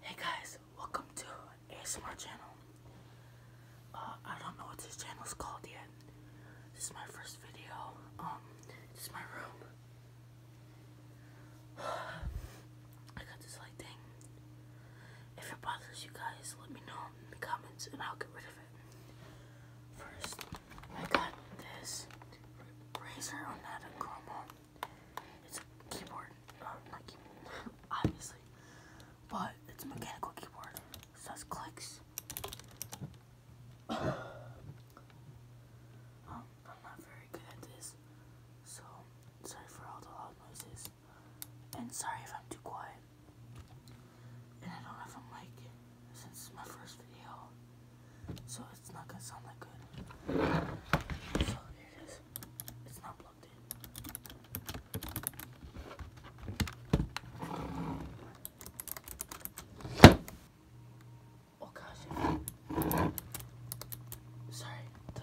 Hey guys, welcome to a smart channel. Uh, I don't know what this channel is called yet. This is my first video. Um, this is my room. I got this light If it bothers you guys, let me know in the comments and I'll get rid of it. First, I got this razor on that Chroma. It's a keyboard, uh, not keyboard, obviously, but it's a mechanical keyboard. It says clicks. Oh, I'm not very good at this, so sorry for all the loud noises, and sorry if I'm too quiet. And I don't have a mic since it's my first video. So it's not gonna sound that good. So here it is. It's not plugged in. Oh gosh. Sorry. Duh.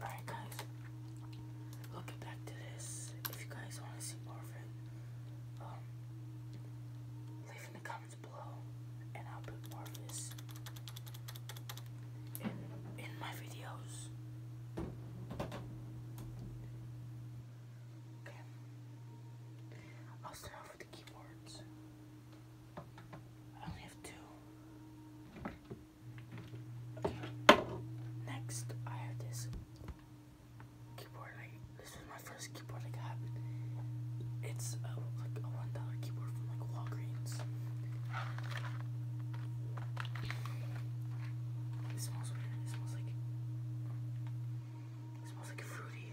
Alright guys, we'll get back to this. If you guys want to see more of it, um, leave in the comments below and I'll put more in, in my videos. Okay. I'll start off with the keyboards. I only have two. Okay. Next, I have this keyboard. this was my first keyboard I got. It's uh, like a one dollar keyboard from like Walgreens. It smells weird. It smells like it smells like fruity.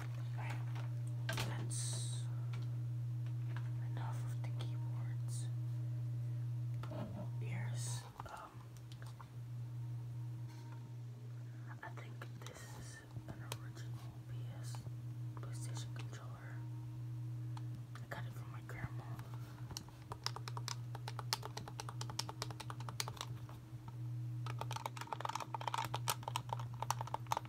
Right. That's enough of the keyboards. Here's um I think this is an original PS PlayStation controller. I got it from my grandma.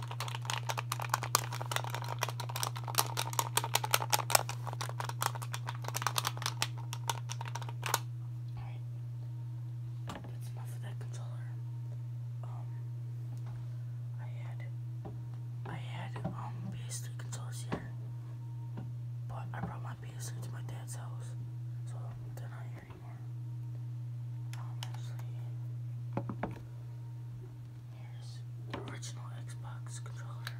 Alright. That's enough of that controller. Um I had I had um PS3 controllers here. But I brought my PS3 to my dad's house. So they're not here anymore. Um Here's original Xbox controller.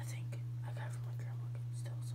I think I got from my grandma still so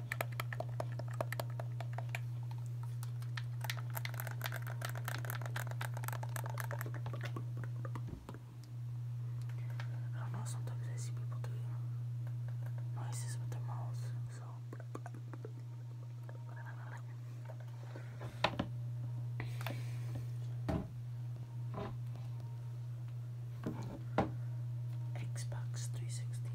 I oh, don't know, sometimes I see people doing noises with their mouths, so. Xbox 360.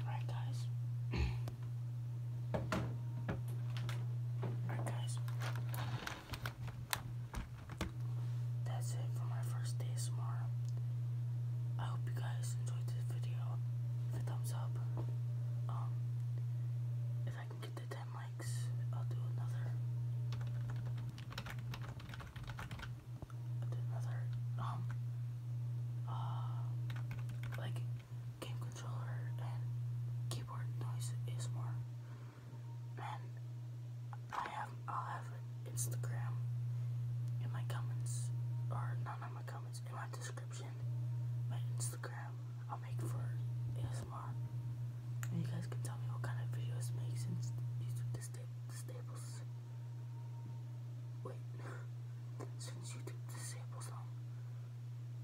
Alright, guys. Alright, guys. That's it for my first day tomorrow. I hope you guys enjoyed this video. Give a thumbs up. Um, if I I get the 10 likes, I'll do another. I'll do another, um, uh, like game controller and keyboard noise is more. And I have, I'll have Instagram in my comments, or not in my comments in my description, my Instagram. I'll make for ASMR. And you guys can tell me what kind of videos make since YouTube disable the stables. Wait, since YouTube disables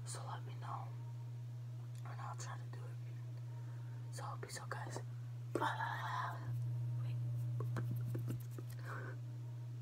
So let me know. And I'll try to do it. So peace out guys.